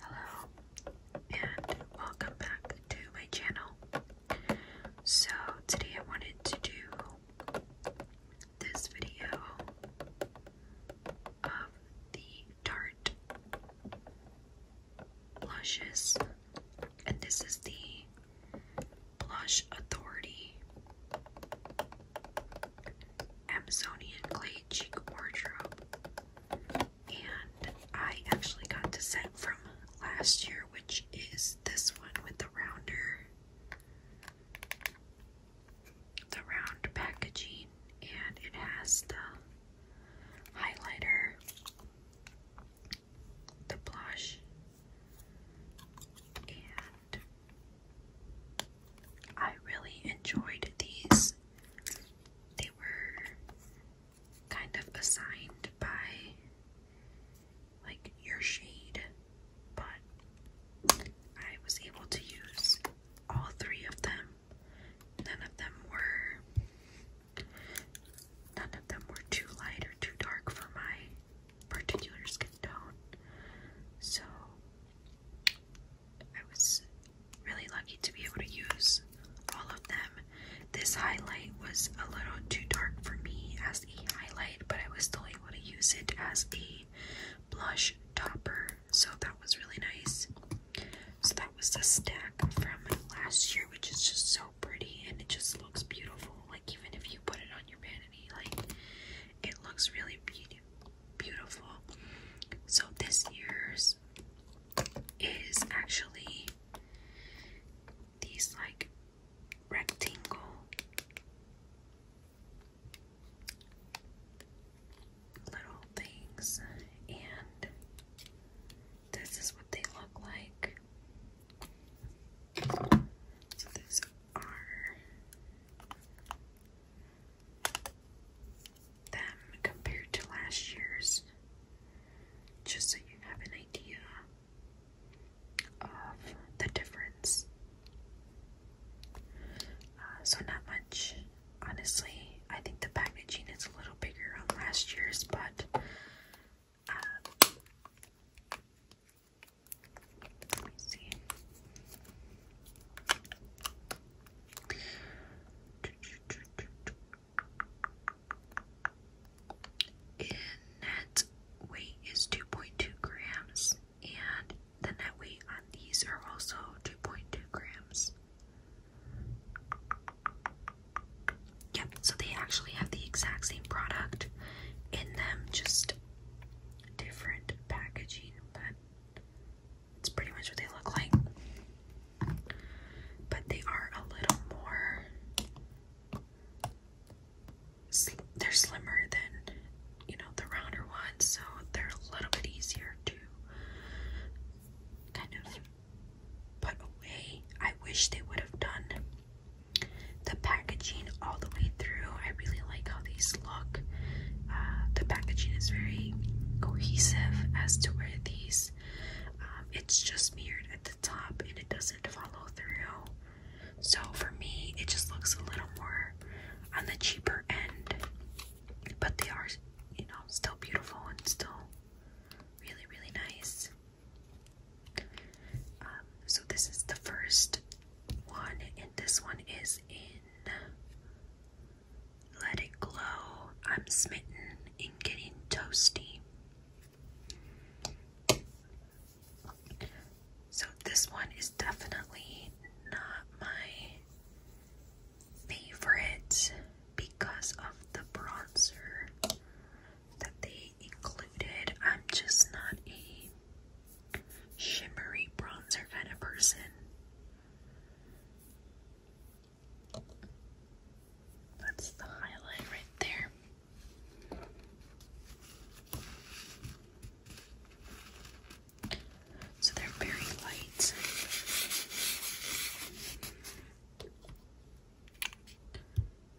Hello and welcome back to my channel. So today I wanted to do this video of the Tarte blushes and this is the Blush Authority, Amazonian Clay Cheek Wardrobe, and I actually got the set from last year, which is this one with the rounder, the round packaging, and it has the highlighter the blush and I really enjoyed these. They were kind of assigned by like your shade, but I was able to use all three of them. None of them were None of them were too light or too dark for my particular skin tone. So I was really lucky to be able to use all of them. This highlight was a little too dark for me as a highlight, but I was still able to use it as a blush topper. So that was really nice. So that was the stack from last year, which is just so pretty and it just looks beautiful. Like even if you put it on your vanity, like it looks really beautiful. So this year's is actually these like rectangle little things and this is what they look like. So these are them compared to last year's, just so you have an idea of the difference. Uh, so, not much, honestly. I think the packaging is a little bigger on last year's, but um, net weight is 2.2 grams, and the net weight on these are also 2.2 grams. Yep, so they actually have the exact same product in them, just different packaging, but it's pretty much what they look like. But they are a little more, they're slimmer than, you know, the rounder ones, so they're a little bit easier to kind of Put away. I wish they would have done the packaging all the way through. I really like how these look. Uh, the packaging is very cohesive as to where these. Um, it's just mirrored at the top and it doesn't follow through. So for me, it just looks a little more on the cheaper end. But they are, you know, still beautiful and still Really, really nice. Um, so this is the first one, and this one is in Let It Glow. I'm smitten in getting toasty. So this one is definitely not my favorite because of the bronzer that they included. I'm just not a shimmery bronzer kind of person. That's the highlight right there. So they're very light.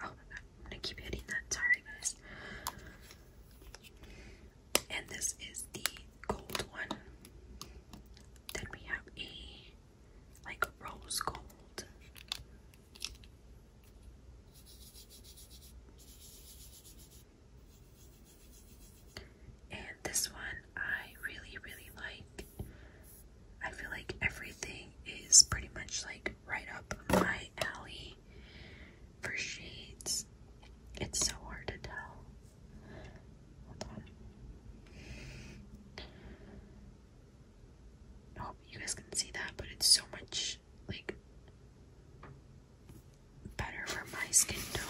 Oh I'm gonna keep hitting that. Sorry, guys. And this is the gold one. Then we have a like rose gold. And this one I really, really like. I feel like everything is pretty much like right up my alley for shades. It's so hard to tell. Hold oh, you guys can see that, but it's so much like better for my skin tone.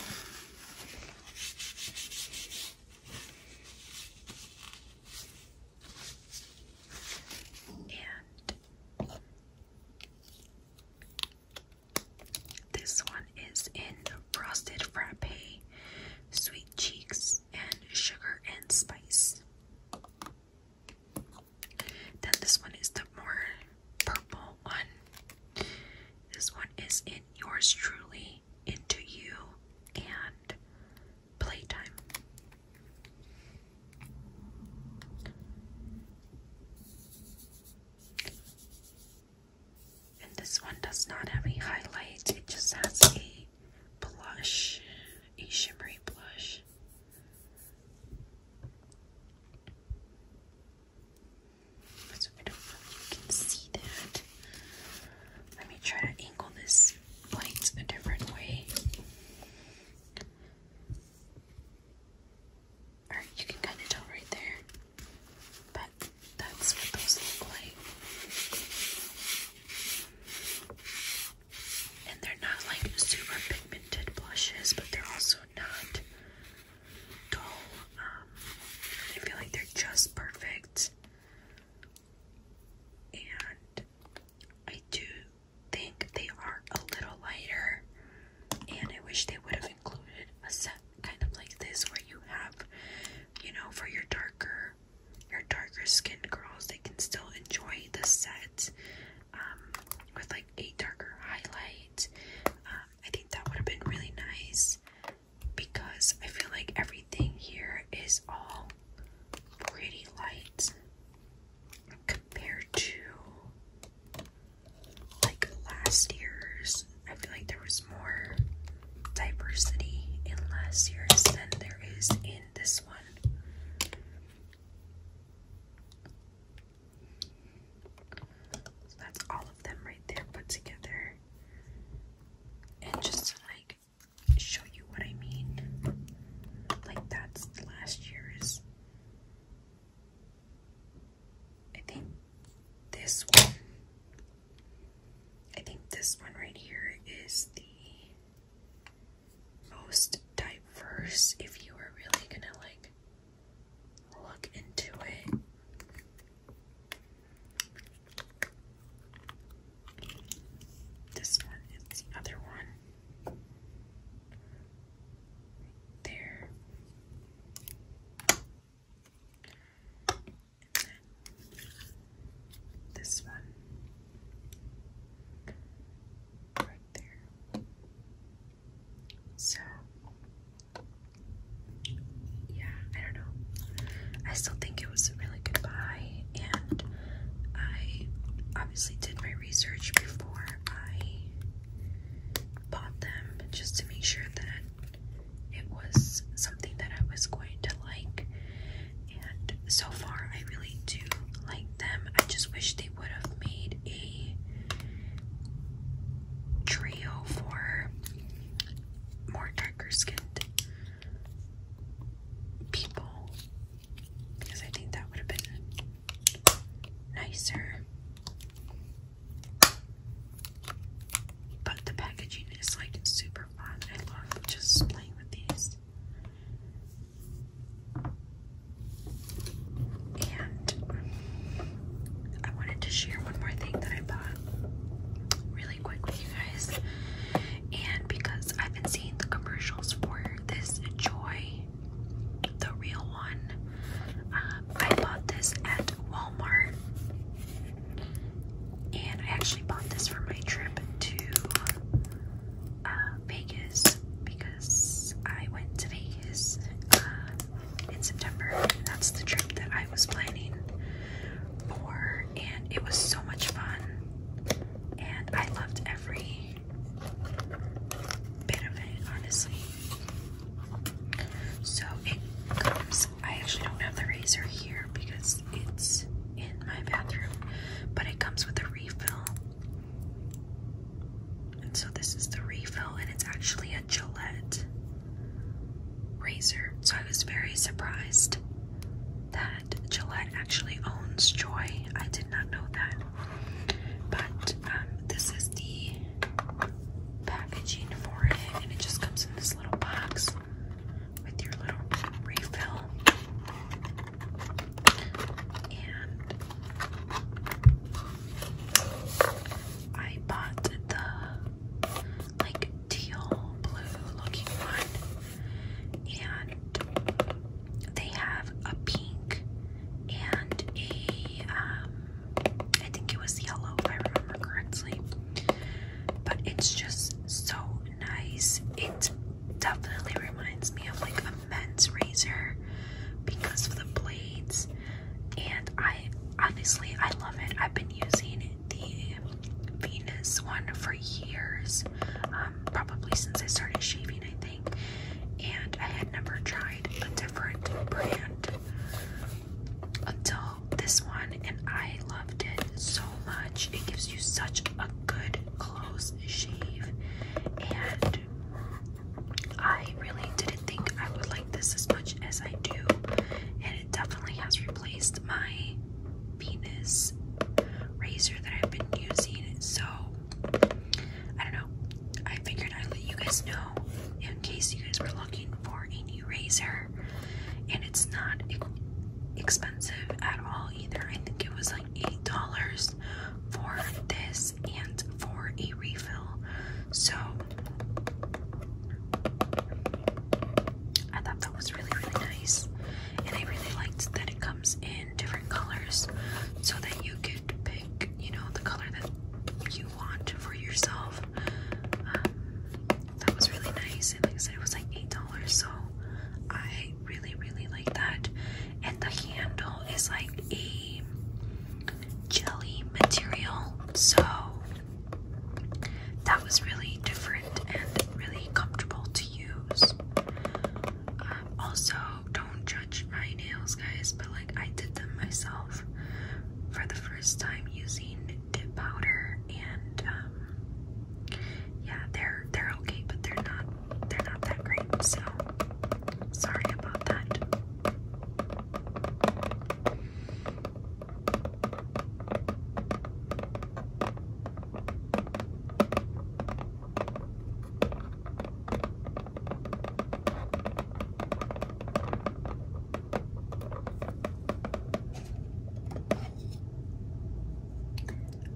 And this one is in frosted frappe, sweet cheeks, and sugar and spice. Then this one is the more purple one. This one is in yours truly, into you, and playtime. And this one does not have a highlight, it just has a blush, a shimmery blush. Let me try to angle this light a different way. Alright, you can kind of tell right there. But that's what those look like. And they're not like super pigmented blushes, but they're also not dull. I feel like they're just perfect. And I do think they are a little lighter. And I wish they would have included a set kind of like this where you have, you know, for your darker your darker skinned girls, they can still enjoy the set um, with like a darker highlight, um, I think that would have been really nice because I feel like everything here is all pretty light compared to like last year's. I feel like there was more diversity in last year's than there is in this one. So that's all of them right there put together. And just to like show you what I mean, like that's last year's. I think this one, I think this one right here is the most diverse if you were really gonna like look into it. This one is the other one. there. this one. Right there. So, yeah, I don't know. I still think it was a really good buy, and I obviously did my research before I bought them just to make sure that it was something that I was going to like. And so far, I really do like them. I just wish they would have made a trio for more darker skinned people because I think that would have been nicer. But the packaging is like super fun. I love just playing with these. And I wanted to share one more thing that I bought really quick with you guys. And because I've been seeing the commercials for this Joy, the real one, um, I bought this at Walmart. And I actually bought this for my trip to uh, Vegas because I went to Vegas uh, in September. That's the trip that I was planning for, and it was so much fun. And I loved every bit of it, honestly. So it comes. I actually don't have the razor here because it's in my bathroom, but it comes with a refill and so this is the refill, and it's actually a Gillette razor. So I was very surprised that Gillette actually owns Joy. I did not know that. But um, this is the packaging for it, and it just comes in this little box with your little refill. And I bought the like teal blue looking one, and they have a pink and a um, I think it was yellow if I remember correctly. But it's just so nice. It definitely reminds me of like a men's razor because of the blades. And I honestly, I love it. I've been using the Venus one for years, um, probably since I started shaving, I think. And I had never tried a different brand until this one, and I loved it so much. It gives you such a good close shave. And I really didn't think I would like this as much as I do. And it definitely has replaced my Venus razor that I've been using. So, I don't know. I figured I'd let you guys know in case you guys were looking for a new razor and it's not expensive at all either. I think it was like eight dollars for this and for a refill. So I thought that was really really nice, and I really liked that it comes in different colors, so that you could pick, you know, the color that you want for yourself. Um, that was really nice. And like I said, it was like $8. So I really, really like that. And the handle is like a jelly material. So that was really different and really comfortable to use. Um, also, don't judge my nails, guys, but like I did them myself for the first time using powder and um yeah they're they're okay but they're not they're not that great so sorry about that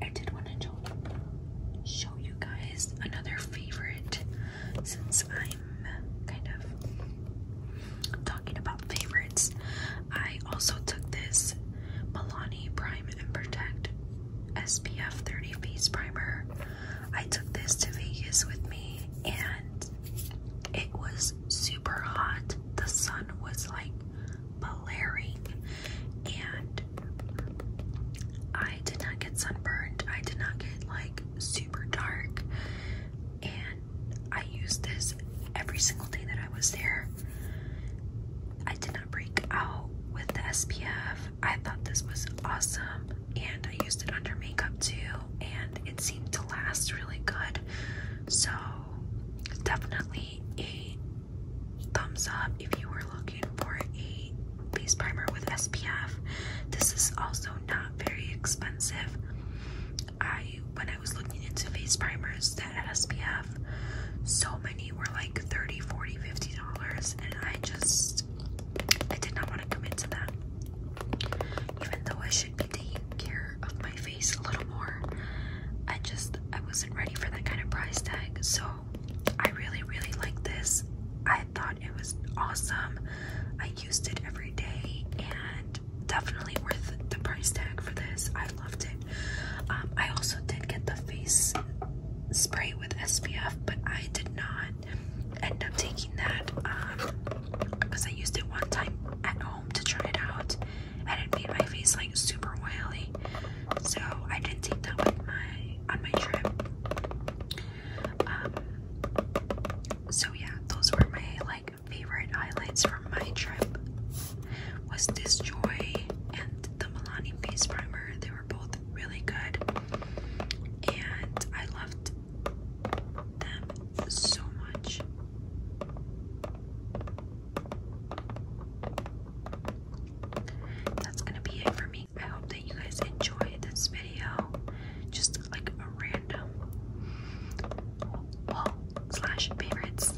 I did want to show you guys another favorite since I'm kind of talking about favorites. I also took this Milani Prime and Protect SPF 30 Face Primer. I took this to Vegas with me and it was super hot. The sun was like blaring, and I did not get sunburned. I did not get like super dark, and I used this every single day that I was there. I did not break out with the SPF. I thought this was awesome, and I used it under makeup too, and it seemed to last really good. So definitely a thumbs up if you were looking for a face primer with SPF. This is also not very expensive. I when I was looking into face primers that had SPF, so many were like 30, 40, 50 dollars and I just I did not want to commit to that. Even though I should taking care of my face a little more. I just I wasn't ready for that kind of price tag, so I really really liked this. I thought it was awesome. I used it every day and definitely worth the price tag for this. I loved it. Um, I also did get the face spray with SPF, but I did not end up taking that. Um, because I used it one time at home to try it out and it made my face like super oily. So I didn't take that with my on my trip. Um, so yeah, those were my like favorite highlights from my trip was this joy and the Milani face primer. They were both really good. And I loved them so much. That's gonna be it for me. I hope that you guys enjoyed this video. Just like a random haul slash favorites.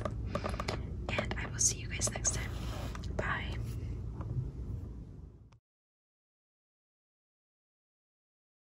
And I will see you guys next time. Bye.